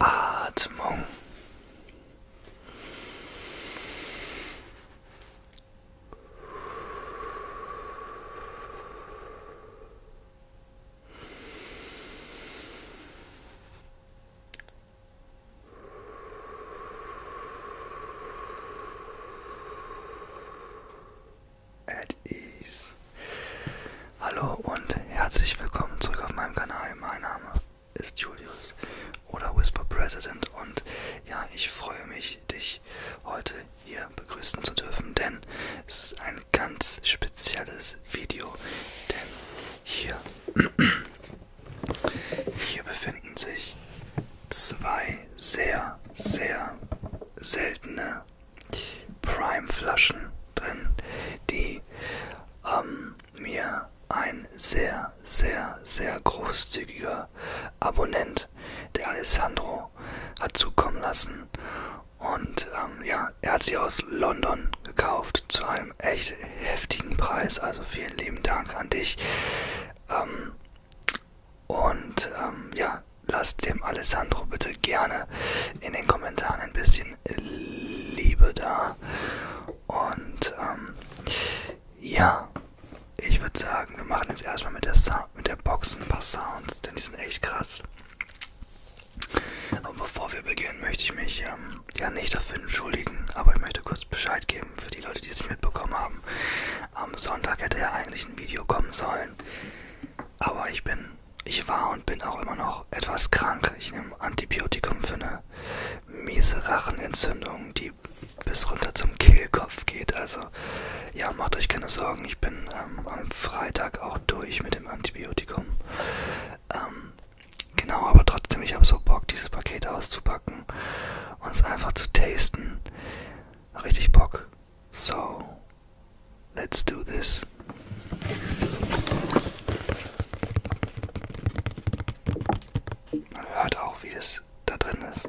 Atmung. At ease. Hallo und herzlich willkommen zurück auf meinem Kanal. Mein Name ist Julius oder Whisper President und ja, ich freue mich, dich heute hier begrüßen zu dürfen, denn es ist ein ganz spezielles Video, denn hier hier befinden sich zwei sehr, sehr seltene Prime-Flaschen drin, die ähm, mir ein sehr, sehr, sehr großzügiger Abonnent, der Alessandro, hat zukommen lassen. Und ähm, ja, er hat sie aus London gekauft zu einem einem echt heftigen Preis. Also vielen lieben Dank an dich. Ähm, und ähm, ja, lasst dem Alessandro bitte gerne in den Kommentaren ein bisschen Liebe da. Und ähm, ja, ich würde sagen, wir machen jetzt erstmal mit der, Sa mit der Box ein paar Sounds, denn die sind echt krass. Aber bevor wir beginnen, möchte ich mich ähm, ja nicht dafür entschuldigen, aber ich möchte kurz Bescheid geben für die Leute, die es nicht mitbekommen haben. Am Sonntag hätte ja eigentlich ein Video kommen sollen, aber ich bin, ich war und bin auch immer noch etwas krank. Ich nehme Antibiotikum für eine miese Rachenentzündung, die bis runter zum Kehlkopf geht. Also ja, macht euch keine Sorgen. Ich bin ähm, am Freitag auch durch mit dem Antibiotikum. Ähm, genau, aber trotzdem, ich habe so Bock, dieses Paket auszupacken und es einfach zu tasten. Richtig Bock. So, let's do this. Man hört auch, wie das da drin ist.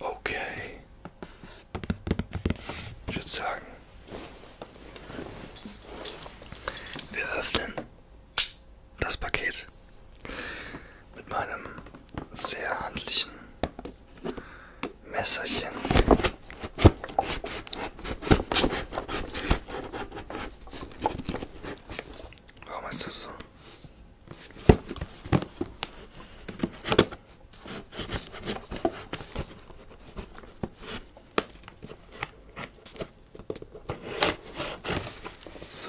Okay. Ich würde sagen, wir öffnen das Paket mit meinem sehr handlichen Messerchen. Warum ist das so? So.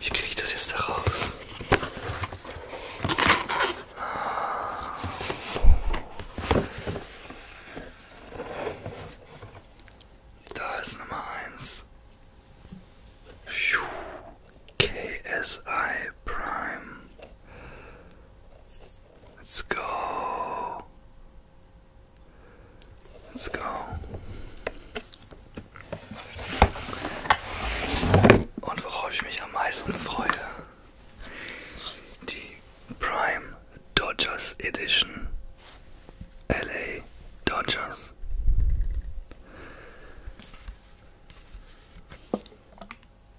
Wie kriege ich das jetzt da raus? Da ist Nummer eins. Phew. KSI Prime. Let's go. Let's go. Und worauf ich mich am meisten freue, die Prime Dodgers Edition LA Dodgers.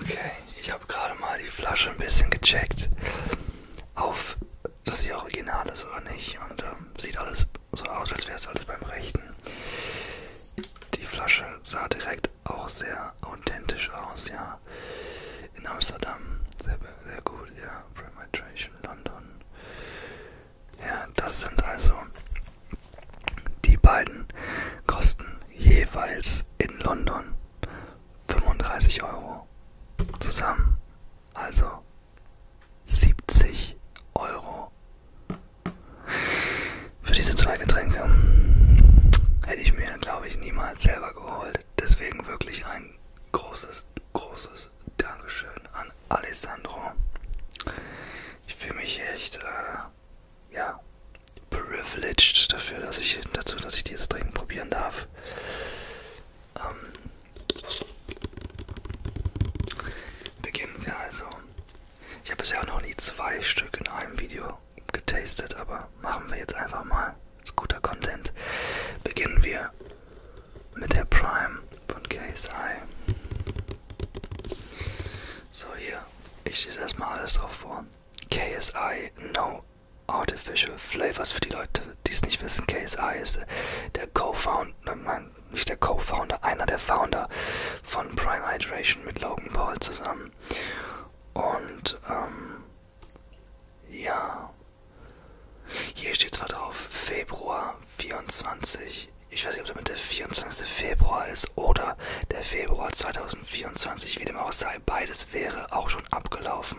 Okay, ich habe gerade mal die Flasche ein bisschen gecheckt, auf dass sie original ist oder nicht. Und ähm, sieht alles so aus, als wäre es alles beim Rechten. Die Flasche sah direkt auch sehr authentisch aus, ja. In Amsterdam, sehr, sehr gut, ja. Prematuration London. Ja, das sind also die beiden kosten jeweils in London 35 Euro. Zusammen also 70 Euro. Für diese zwei Getränke hätte ich mir, glaube ich, niemals selber geholt. Deswegen wirklich ein großes, großes Dankeschön an Alessandro. Ich fühle mich echt äh, sehr, ja, privileged dafür, dass ich dazu, dass ich dieses Trinken probieren darf. Ähm, beginnen wir also. Ich habe bisher auch noch nie zwei Stück in einem Video getastet, aber machen wir jetzt einfach mal. Das ist guter Content. Beginnen wir mit der Prime von KSI. So, hier ich schließe erstmal alles drauf vor. KSI, no artificial flavors für die Leute, die es nicht wissen. KSI ist der Co-Founder, nein, nicht der Co-Founder, einer der Founder von Prime Hydration mit Logan Paul zusammen. Und, ähm, ja. Hier steht zwar drauf Februar 24 ich weiß nicht, ob damit der 24. Februar ist oder der Februar 2024, wie dem auch sei, beides wäre auch schon abgelaufen.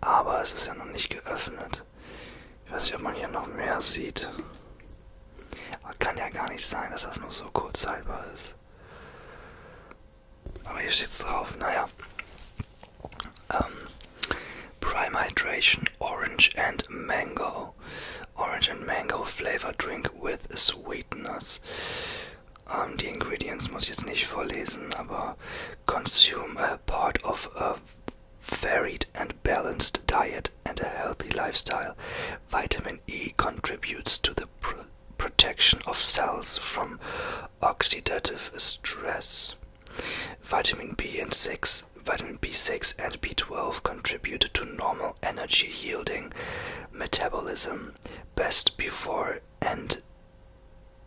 Aber es ist ja noch nicht geöffnet. Ich weiß nicht, ob man hier noch mehr sieht. Aber kann ja gar nicht sein, dass das nur so kurz haltbar ist. Aber hier steht's drauf, naja. Ähm, Prime Hydration Orange and Mango. orange and mango flavor drink with sweeteners. Um, Ingredients muss ich jetzt nicht vorlesen, consume a part of a varied and balanced diet and a healthy lifestyle. Vitamin E contributes to the protection of cells from oxidative stress. Vitamin B and 6 Vitamin B6 and B12 contribute to normal energy yielding metabolism best before and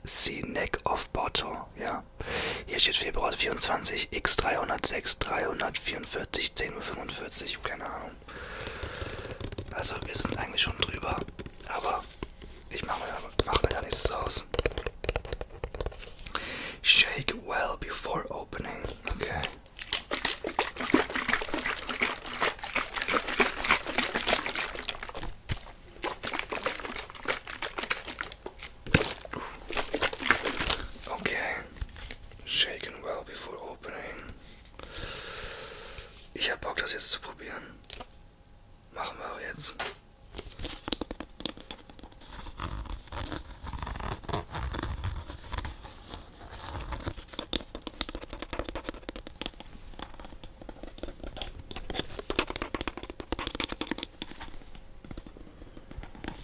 see neck of bottle. Ja, hier steht Februar 24, X306, 344, 10.45 Uhr, keine Ahnung. Also wir sind eigentlich schon drüber, aber ich mache mir, mach mir da nichts draus. Shake well before opening. Okay. Okay, shaken well before opening. Ich hab Bock, das jetzt zu probieren. Machen wir auch jetzt.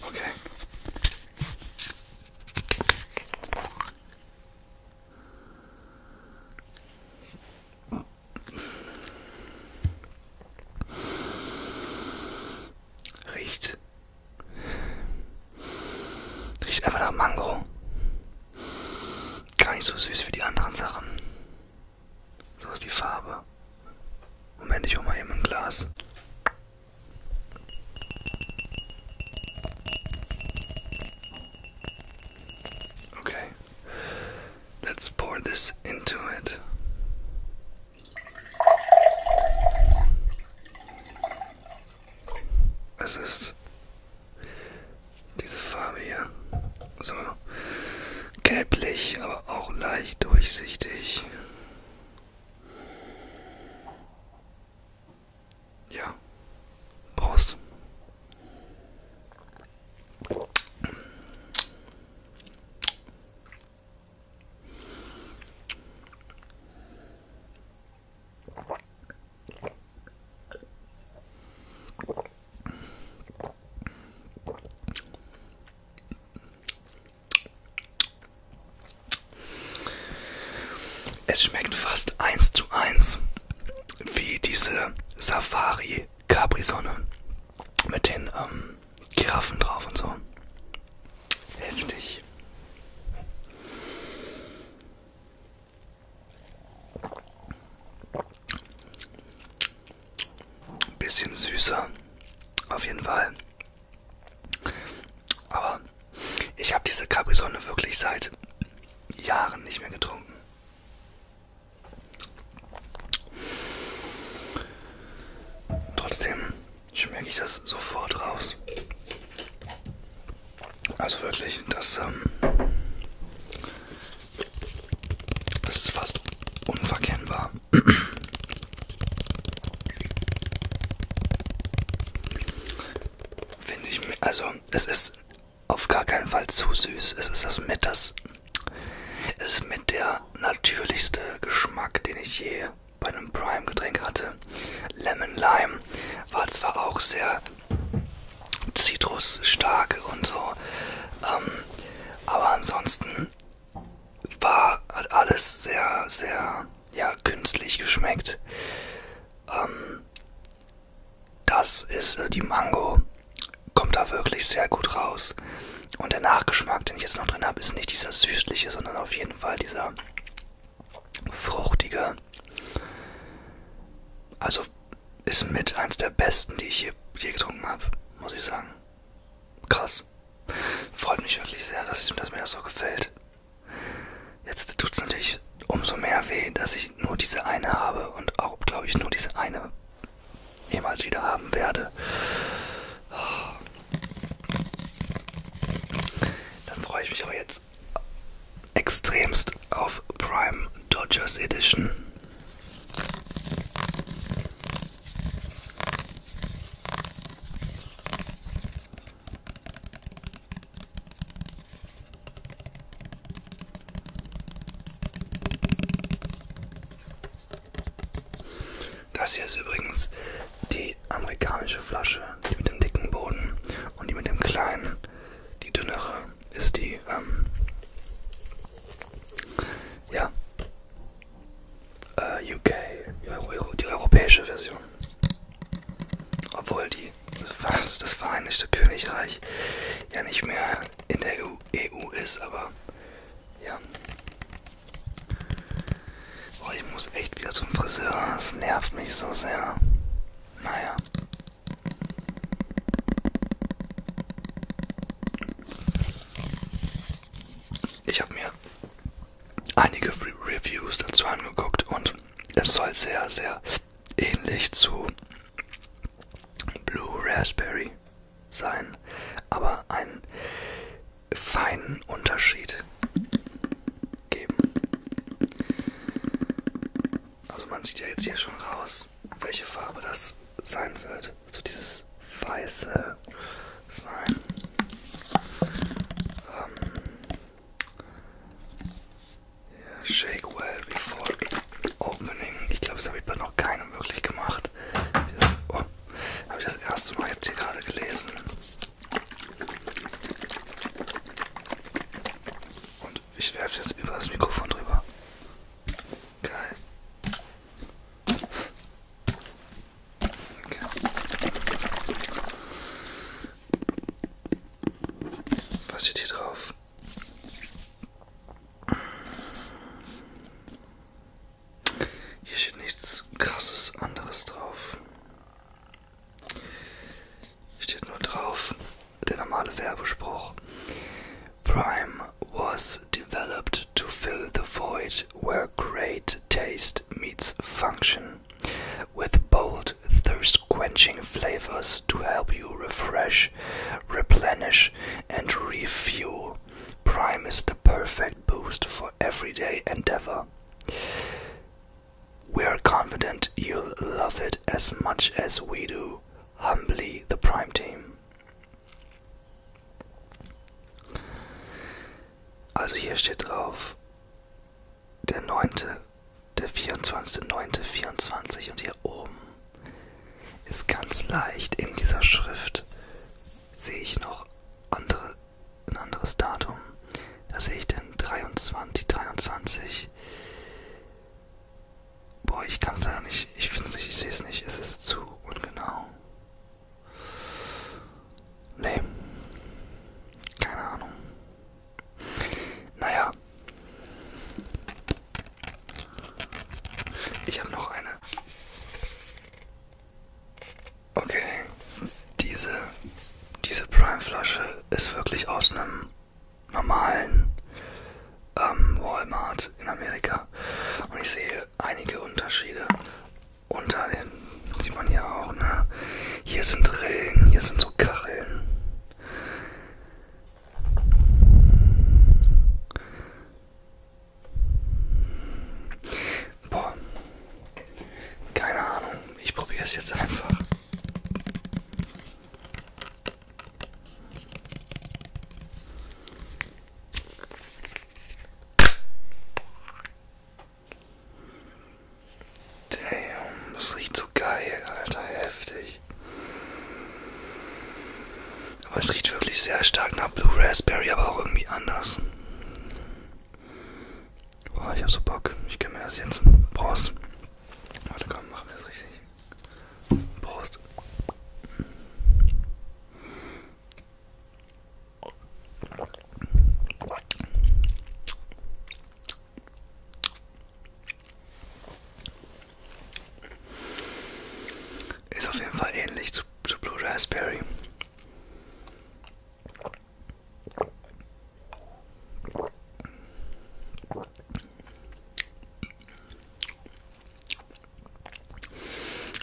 Okay. Riecht Riecht einfach nach Mango. Gar nicht so süß wie die anderen Sachen. So ist die Farbe. Moment, ich hole mal eben ein Glas. Okay. Let's pour this into it. Es ist diese Farbe hier. So gelblich, aber auch leicht durchsichtig. Ja. Prost. Es schmeckt fast eins zu eins wie diese Safari Capri-Sonne mit den ähm, Giraffen drauf und so. Heftig. Ein bisschen süßer, auf jeden Fall. Aber ich habe diese Capri-Sonne wirklich seit Jahren nicht mehr getrunken. Trotzdem schmecke ich das sofort raus. Also wirklich, das, ähm, das ist fast unverkennbar. Finde ich, also es ist auf gar keinen Fall zu süß. Es ist das mit das, es ist mit der natürlichste Geschmack, den ich je bei einem Prime-Getränk hatte. Lemon Lime war zwar auch sehr zitrusstark und so, ähm, aber ansonsten war hat alles sehr, sehr ja, künstlich geschmeckt. Ähm, das ist äh, die Mango, kommt da wirklich sehr gut raus. Und der Nachgeschmack, den ich jetzt noch drin habe, ist nicht dieser süßliche, sondern auf jeden Fall dieser fruchtige. Also ist mit eins der besten, die ich je getrunken habe, muss ich sagen. Krass. Freut mich wirklich sehr, dass, ich, dass mir das so gefällt. Jetzt tut es natürlich umso mehr weh, dass ich nur diese eine habe und auch, glaube ich, nur diese eine jemals wieder haben werde. Dann freue ich mich auch jetzt jetzt extremst auf Prime Dodgers Edition. Das hier ist übrigens die die amerikanische Flasche, die mit dem dicken Boden und die mit dem kleinen, die dünnere, ist die, ähm, ja, äh, UK, die, Euro, die europäische Version. Obwohl die, das Vereinigte Königreich ja nicht mehr in der EU, EU ist, aber ja. Oh, ich muss echt wieder zum Friseur. Das nervt mich so sehr. Naja. Ich habe mir einige Free Reviews dazu angeguckt und es soll sehr, sehr ähnlich zu Blue Raspberry sein, aber einen feinen Unterschied geben. Also man sieht ja jetzt hier schon raus, welche Farbe das sein wird. So also dieses weiße sein. Ähm, yeah, shake well before opening. Ich glaube, das habe ich bei noch keinem wirklich gemacht. Habe ich, das, oh, hab ich das erste Mal jetzt hier gerade gelesen. Und ich werfe jetzt über das Mikrofon drüber. Geil. Okay. Was steht hier drauf? Hier steht nichts krasses anderes drauf. Steht nur drauf, der normale Werbespruch. Prime was developed to fill the void where great taste meets function, with bold, thirst quenching flavors to help you refresh, replenish, and refuel. Prime is the perfect boost for everyday endeavor. We're confident you'll love it as much as we do. Humbly, the Prime Team. Also hier steht drauf der 9., der 24., 9., 24 und hier oben ist ganz leicht in dieser Schrift sehe ich noch andere, ein anderes Datum. Da sehe ich den 23, 23. Boah, ich kann es leider nicht. Ich finde es nicht, ich sehe es nicht. Es ist zu ungenau. Nee. Keine Ahnung. Naja. Ich habe noch eine. Okay. Diese, diese Prime-Flasche ist wirklich aus einem einem normalen ähm, Walmart in Amerika. Und ich sehe einige Unterschiede unter den, sieht man hier auch, ne? Hier sind Rillen, hier sind so Kacheln. Boah, keine Ahnung. Ich probiere es jetzt einfach. Damn, das riecht so geil, Alter, heftig. Aber es riecht wirklich sehr stark nach Blue Raspberry, aber auch irgendwie anders. Boah, ich hab so Bock. Ich gönn mir das jetzt. Prost. Warte, komm, machen wir es richtig. Prost. Ist auf jeden Fall ähnlich zu, zu Blue Raspberry.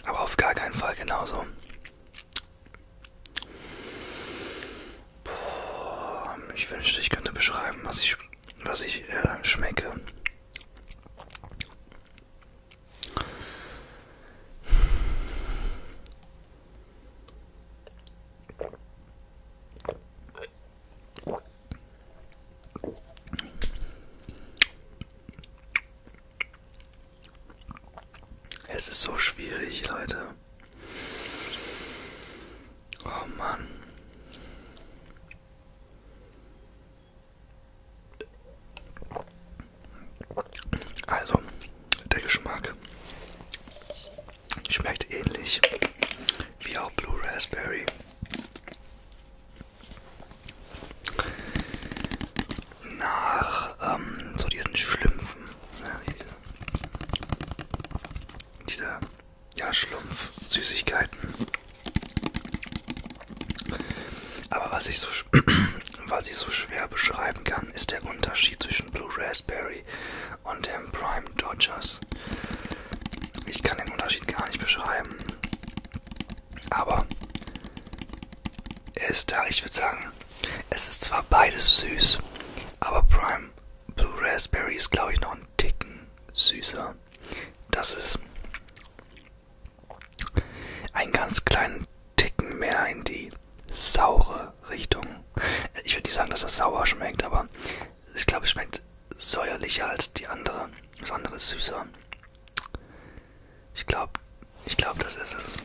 Aber auf gar keinen Fall genauso. Puh, ich wünschte, ich könnte beschreiben, was ich, was ich äh, schmecke. Es ist so schwierig, Leute. Oh Mann. Also, der Geschmack Schmeckt ähnlich wie auch Blue Raspberry. Nach ähm, so diesen Schlümpfen. Ja, diese, ne, diese ja, Schlumpf-Süßigkeiten. Aber was ich, so, was ich so schwer beschreiben kann, ist der Unterschied zwischen Blue Raspberry und dem Prime Dodgers. Ich kann den Unterschied gar nicht beschreiben. Aber er ist da, ich würde sagen, es ist zwar beides süß, aber Prime Blue Raspberry ist, glaube ich, noch einen Ticken süßer. Das ist einen ganz kleinen Ticken mehr in die saure Richtung. Ich würde nicht sagen, dass das sauer schmeckt, aber ich glaube, es schmeckt säuerlicher als die andere. Das andere ist süßer. Ich glaube, ich glaube, das ist es.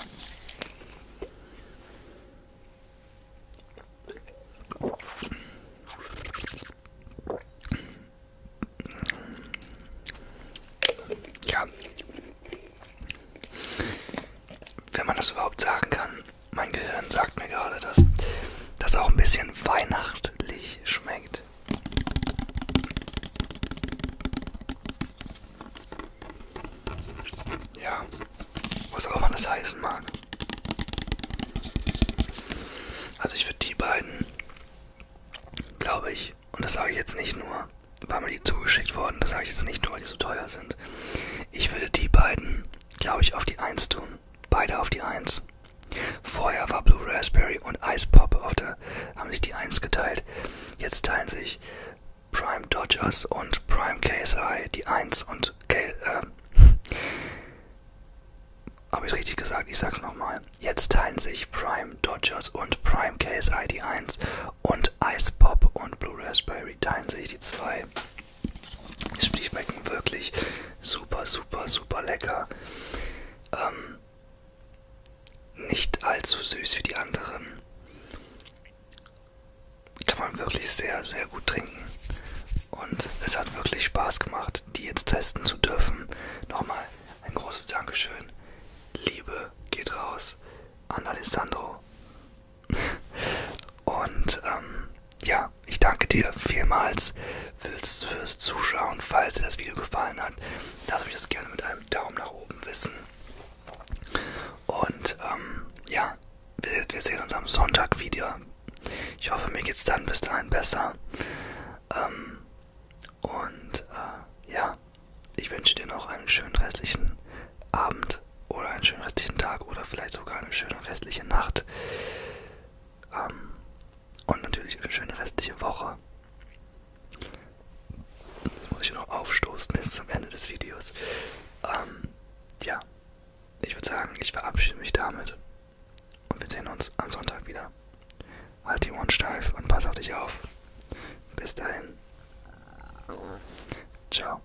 Ja. Wenn man das überhaupt sagen kann mein Gehirn sagt mir gerade, dass das auch ein bisschen weihnachtlich schmeckt. Ja, was auch immer das heißen mag. Also ich würde die beiden, glaube ich, und das sage ich jetzt nicht nur, weil mir die zugeschickt wurden, das sage ich jetzt nicht nur, weil die so teuer sind. Ich würde die beiden, glaube ich, auf die 1 tun beide auf die 1. Vorher war Blue Raspberry und Ice Pop auf der, haben sich die 1 geteilt. Jetzt teilen sich Prime Dodgers und Prime KSI die 1 und K äh, habe ich richtig gesagt, ich sag's nochmal. Jetzt teilen sich Prime Dodgers und Prime KSI die 1 und Ice Pop und Blue Raspberry teilen sich die 2. Die schmecken wirklich super, super, super lecker. Ähm, nicht allzu süß wie die anderen. Kann man wirklich sehr, sehr gut trinken. Und es hat wirklich Spaß gemacht, die jetzt testen zu dürfen. Nochmal ein großes Dankeschön. Liebe geht raus an Alessandro und ähm, ja, ich danke dir vielmals fürs, fürs Zuschauen. Falls dir das Video gefallen hat, lass mich das gerne mit einem Daumen nach oben wissen. Und ähm, ja, wir, wir sehen uns am Sonntag wieder. Ich hoffe, mir geht's dann bis dahin besser. Ähm, und äh, ja, ich wünsche dir noch einen schönen restlichen Abend oder einen schönen restlichen Tag oder vielleicht sogar eine schöne restliche Nacht. Ähm, und natürlich eine schöne restliche Woche. Das muss ich noch aufstoßen bis zum Ende des Videos. Ähm, ja, ich würde sagen, ich verabschiede mich damit. Und wir sehen uns am Sonntag wieder. Halt die Ohren steif und pass auf dich auf. Bis dahin. Ciao.